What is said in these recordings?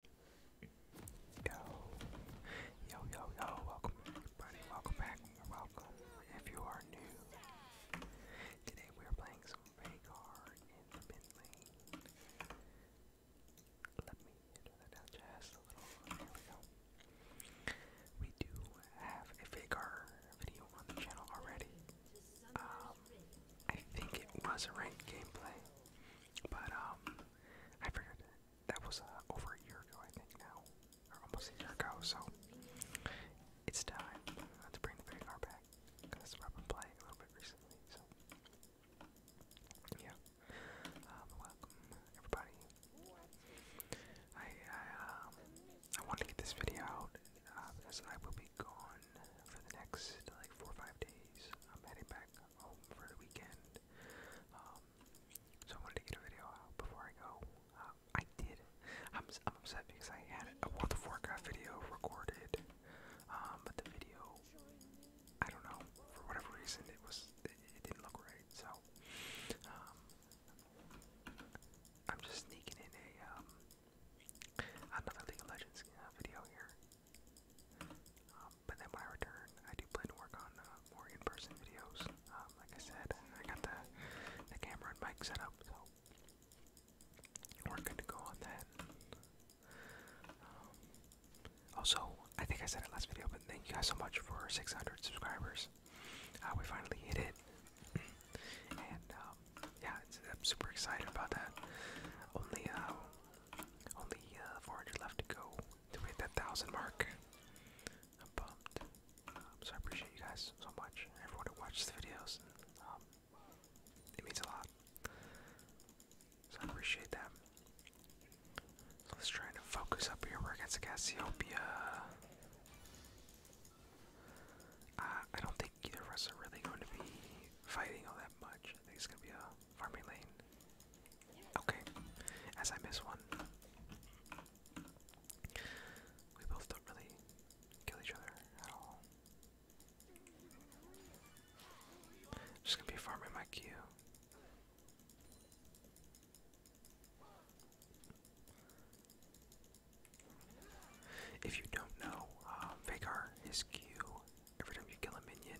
Yo, yo, yo, yo, welcome everybody, welcome back, welcome if you are new. Today we are playing some Vagar in the Let me enter a little, there we go. We do have a Vagar video on the channel already. Um, I think it was a ranked gameplay, but um, I figured that was uh, over a year ago, I think now, or almost a year ago. So it's time uh, to bring the Vagar back because I've playing a little bit recently. So yeah, um, welcome everybody. I um, I wanted to get this video out uh, because I will be gone for the next like four or five days. I'm heading back home for the weekend. Um, so I wanted to get a video out before I go. Um, I did. I'm, I'm upset because I had a World of Warcraft video recorded, um, but the video, I don't know, for whatever reason, it was it, didn't look right. So I'm just sneaking in a another League of Legends uh, video here. Um, but then by return, I do plan to work on uh, more in-person videos. Um, like I said, I got the the camera and mic set up, so we're good to go on that. Um, also, I think I said it last video, but thank you guys so much for 600 subscribers. Uh, we finally hit it, and yeah, I'm super excited about that. Only uh, only uh, 400 left to go to hit that 1,000 mark. I'm pumped. Um, so I appreciate you guys so much, everyone who watches the videos. Um, it means a lot. So I appreciate that. So let's try to focus up here. We're against Cassiopeia. Uh, I don't think either of us are really going to be fighting all that much. I think it's going to be a Farming lane. Okay. As I miss one. We both don't really kill each other at all. Just gonna be farming my Q. If you don't know, um, Vagar, Q Every time you kill a minion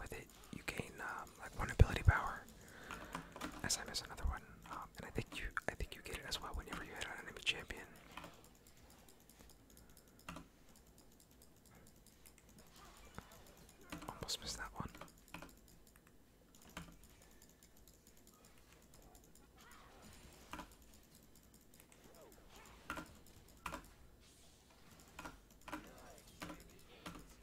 with it, you gain um, like one ability power. As I miss another one, um, and I think you, I think you get it as well whenever you hit an enemy champion. Almost missed that one.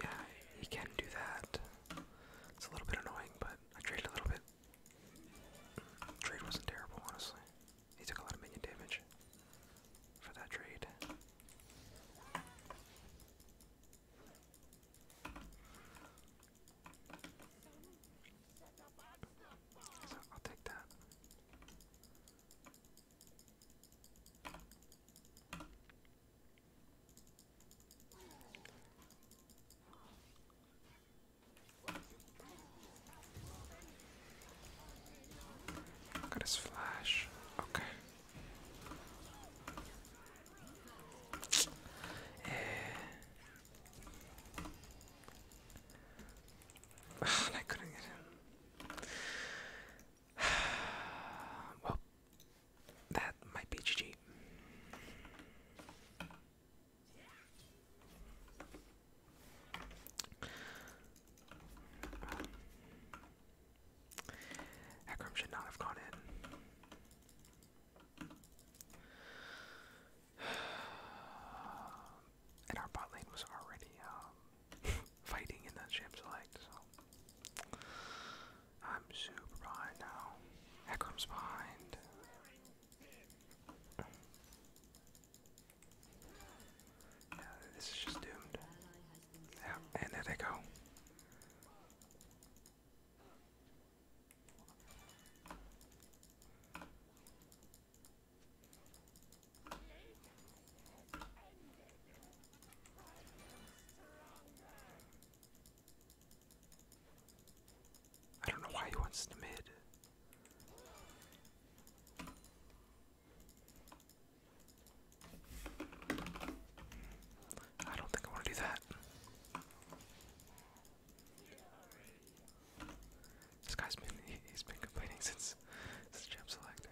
Yeah, he can do that. It's a little bit annoying, but I traded a little bit. Trade wasn't terrible, honestly. He took a lot of minion damage for that trade. So I'll take that. Look at his flash. Okay. Eh. I couldn't get him. well, that might be GG. Akram should not have gone in. And our bot lane was already um, fighting in the sham select, so I'm super behind now. Heckram's behind. this is just doomed. Yeah, and there they go. I don't know why he wants the mid. I don't think I want to do that. This guy's been he, has been complaining since since Jam Select.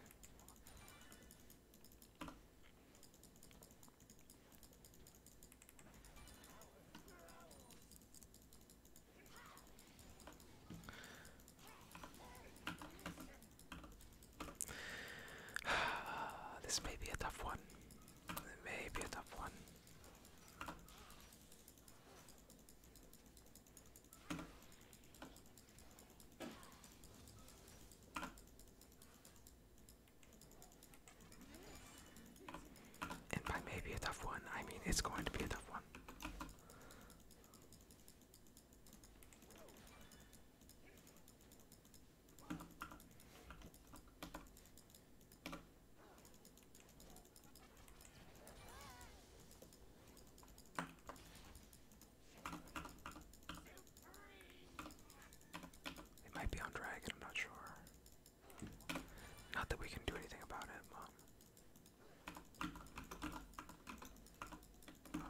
this may be a tough one. may be a tough one. And by maybe a tough one, I mean it's going to be a tough one. It might be on Dragon, I'm not sure. Not that we can do anything about it, but.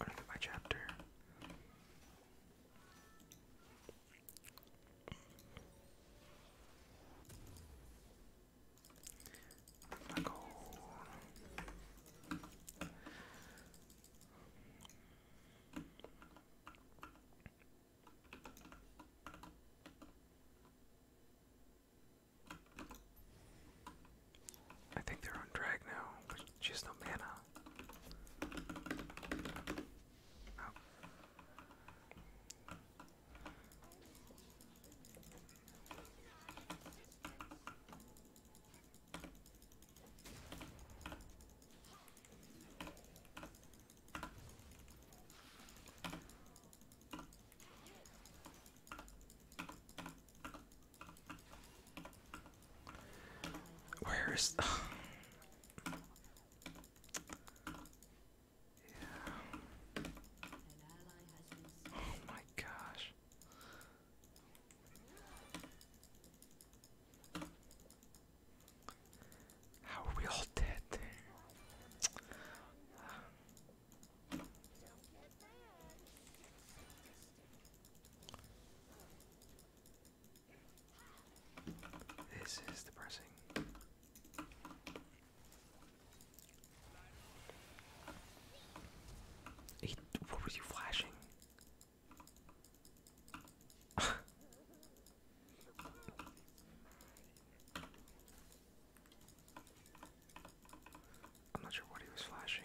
Uh, my chapter? I think they're on drag now, but just no mana. Oh. Where is the Oh my gosh. How are we all dead there? This is depressing what was he flashing? I'm not sure what he was flashing.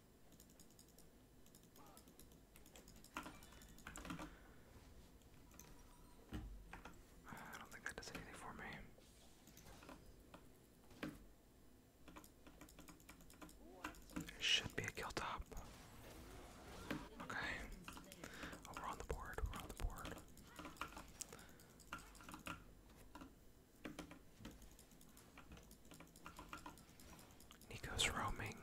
I don't think that does anything for me. should be a kill top. Okay. Oh, we're on the board. We're on the board. Nico's roaming.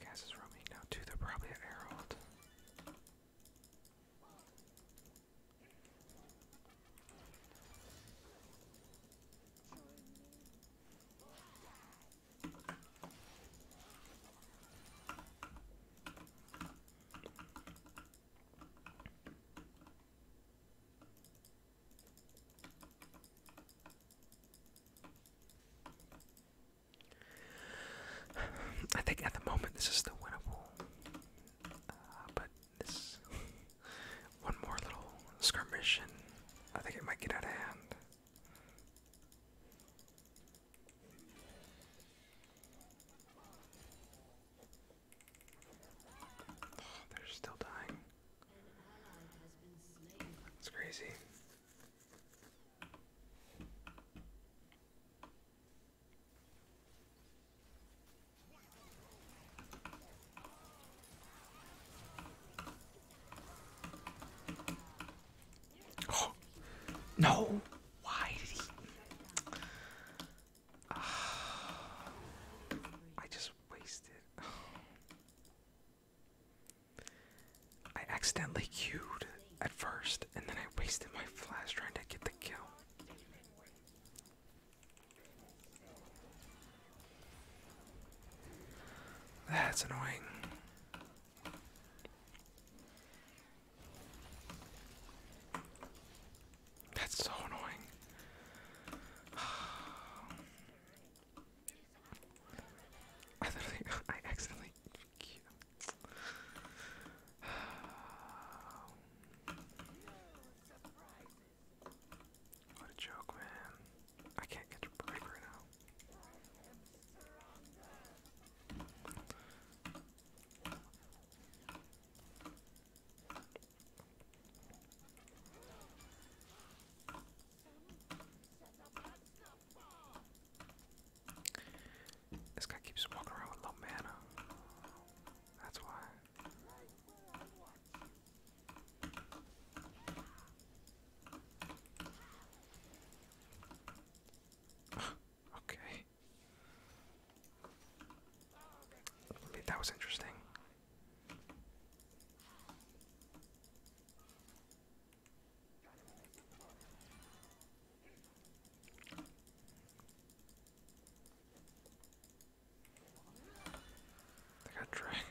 Cass is roaming now too, they're probably at Herald. I think at the moment this is the winner, uh, but this one more little skirmish, and I think it might get out of hand. they're still dying. That's crazy. no. Why did he? I just wasted. I accidentally queued at first, and then I wasted my flash trying to get the kill. That's annoying. That's so annoying. I literally, I accidentally. What a joke, man. I can't get a break right now. This guy keeps walking around with low mana. That's why. okay. that was interesting. I got dragon.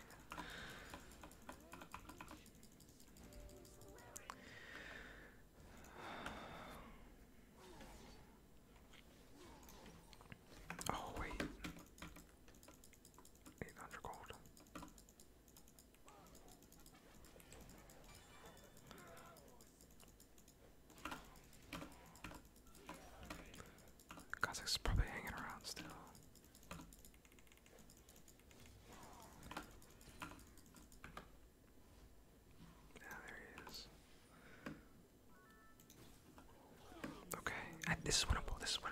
Oh wait. 800 gold. Kazakh's probably hanging around still. Yeah, there he is. Okay, this is winnable. This is winnable.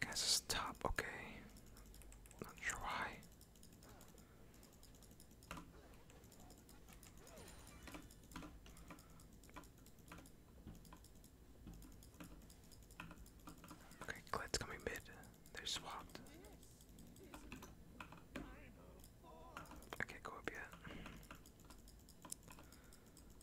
Guys, this okay. Not sure why. Okay, Glit's coming mid. they swapped. I go up yet.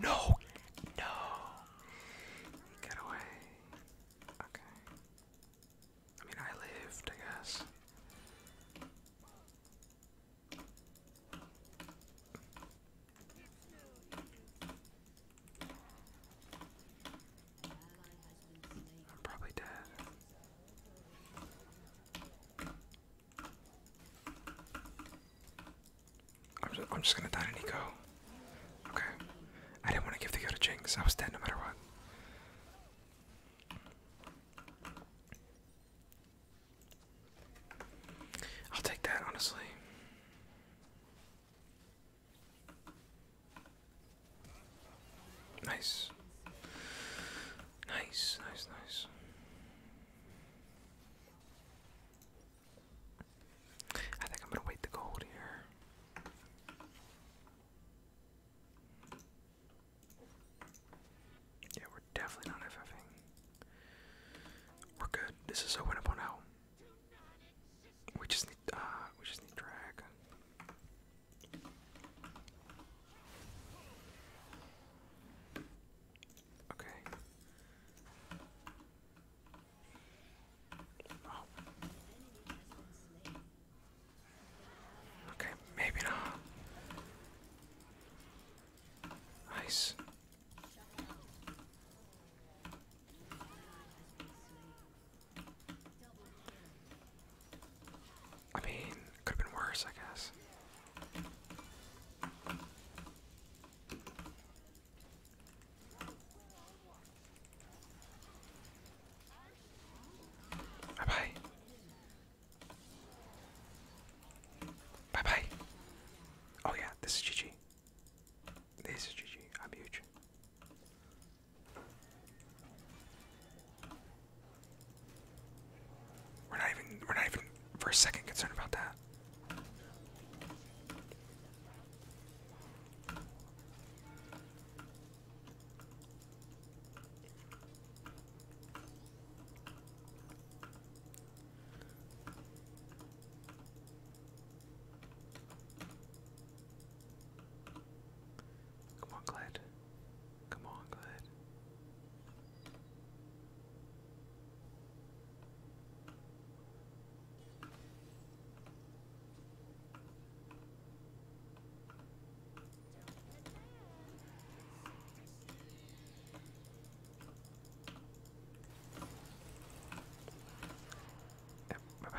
No! No! Get away. Okay. I mean, I lived, I guess. I'm probably dead. I'm just, gonna die to go. Okay. I didn't want to give the go to Jinx. I was dead no matter what. I'll take that, honestly. Nice. Nice, nice, nice. I think I'm gonna wait the gold here. Yeah, we're definitely not FFing. We're good. This is a win up on out. We just need uh we just need drag. Okay. Oh. Okay, maybe not. Nice. I mean, could have been worse, I guess. Bye bye. Bye bye. Oh yeah, this is GG. This is GG. I'm huge. We're not even we're not even for a second concerned about that. Come on, Glad. Come on, Glad. Yep, bye bye.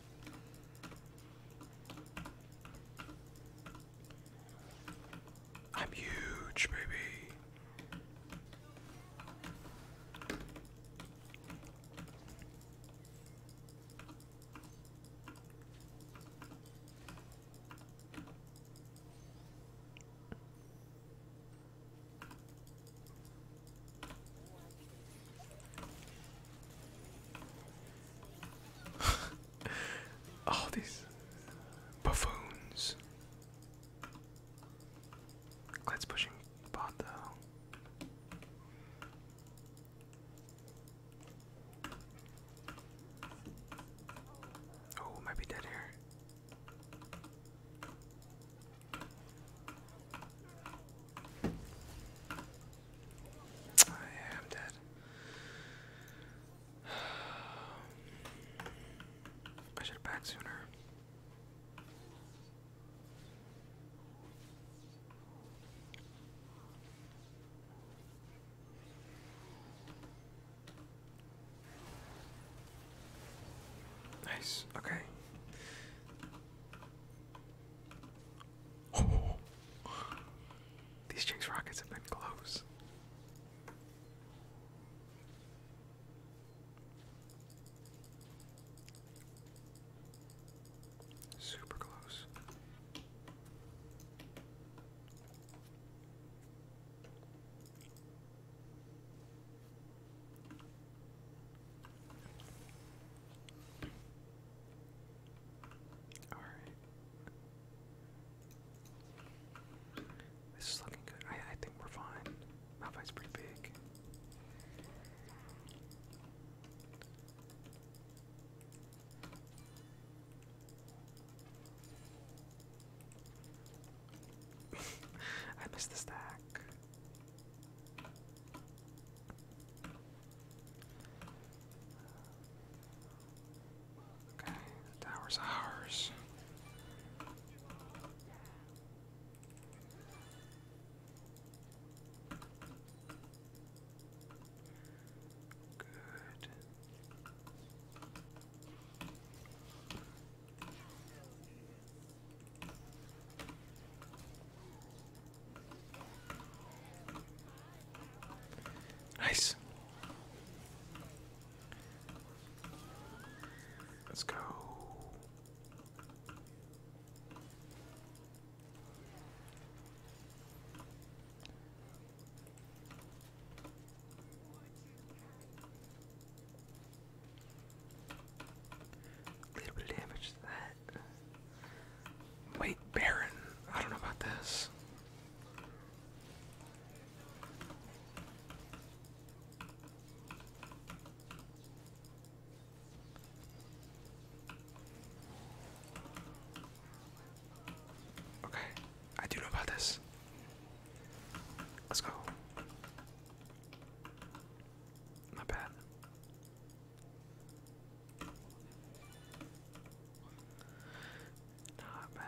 I'm huge, baby. All these buffoons. Let's pushing bot though. Oh, might dead here. I'm dead. I should have back sooner. Nice. Okay. These Jinx Rockets have been close. Super close. Alright. This is looking good. I, think we're fine. Malphite's pretty big. I missed the stack. Okay, the tower's ours. Good. Nice. Let's go. A little bit damage to that. Wait, Baron. I don't know about this. Okay, I do know about this. Let's go. My bad. Not bad.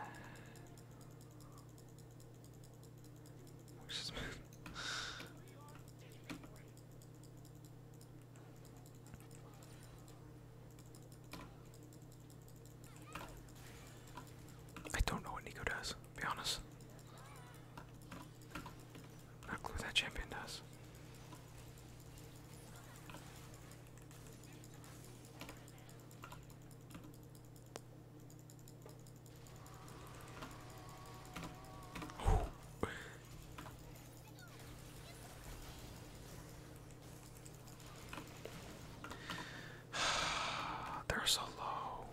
I don't know what Nico does, be honest. Not clue that champion does. They're so low.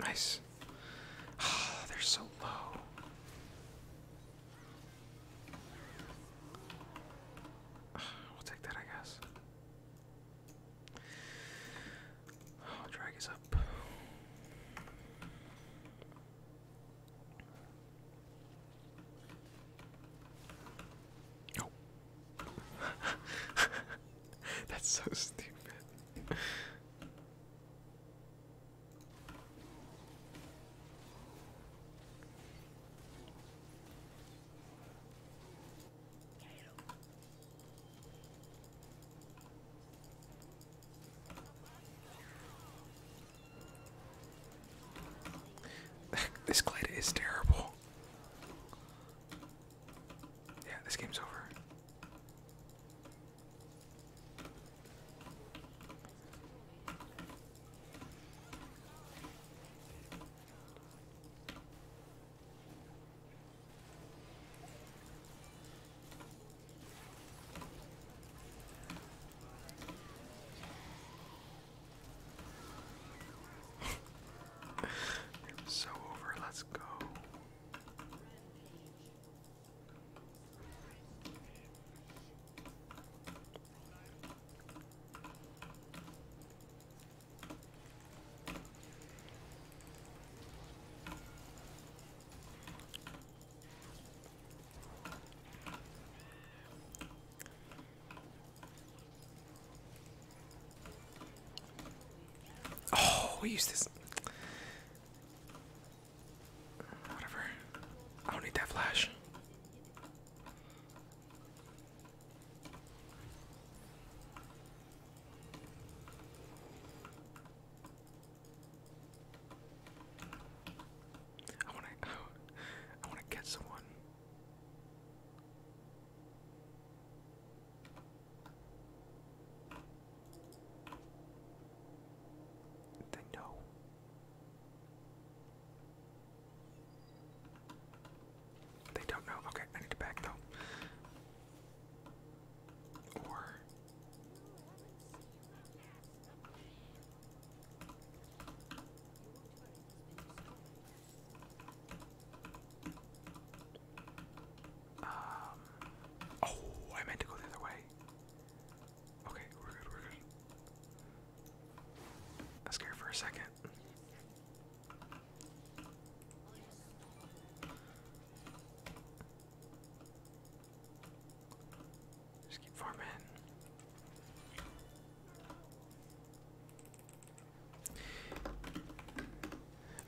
Nice. Ah, they're so low. Ah, we'll take that, I guess. Oh, drag is up. Oh. That's so stupid. this Glider is terrible. Yeah, this game's over so over, let's go. Oh, we use this. Whatever. I don't need that flash. I want to. I want to catch someone. Then no. They don't know. Okay, I need to back though. Or um, oh, I meant to go the other way. Okay, we're good, we're good. That's scared for a second. Just keep farming.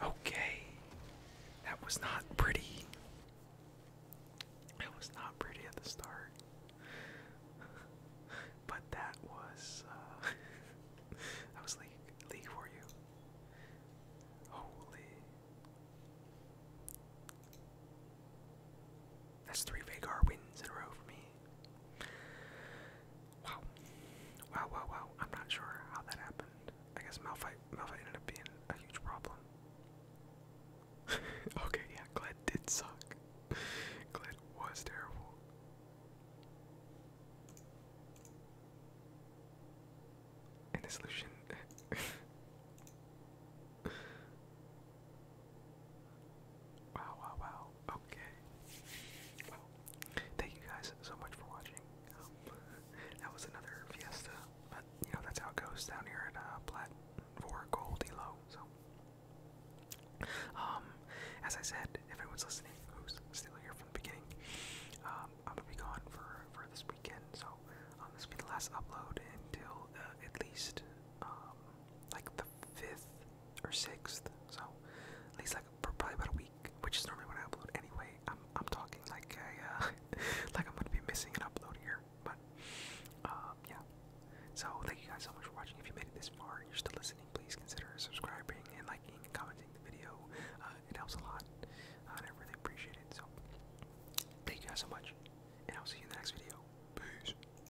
Okay. That was not pretty. It was not pretty at the start. but that was uh that was league league for you. Holy That's three Vagar wins in a row for me. Wow. Wow, wow, wow. I'm not sure how that happened. I guess Malphite, Malphite ended up being a huge problem. okay, yeah, Gled did suck. Gled was terrible. And this Lucian. Wow, wow, wow. Okay. Well, thank you guys so much for watching. Um, that was another fiesta, but you know, that's how it goes down here at uh, for Gold Elo. So, um, as I said, if anyone's listening who's still here from the beginning, um, I'm gonna be gone for, for this weekend, so um, this will be the last upload until uh, at least um, like the 5th or 6th, so at least like probably about a week, which is normally when I upload anyway. I'm, I'm talking like I, uh, like I'm gonna be missing an upload here, but um, yeah. So thank you guys so much for watching. If you made it this far and you're still listening, please consider subscribing and liking and commenting the video. Uh, it helps a lot, uh, and I really appreciate it. So thank you guys so much, and I'll see you in the next video. Peace.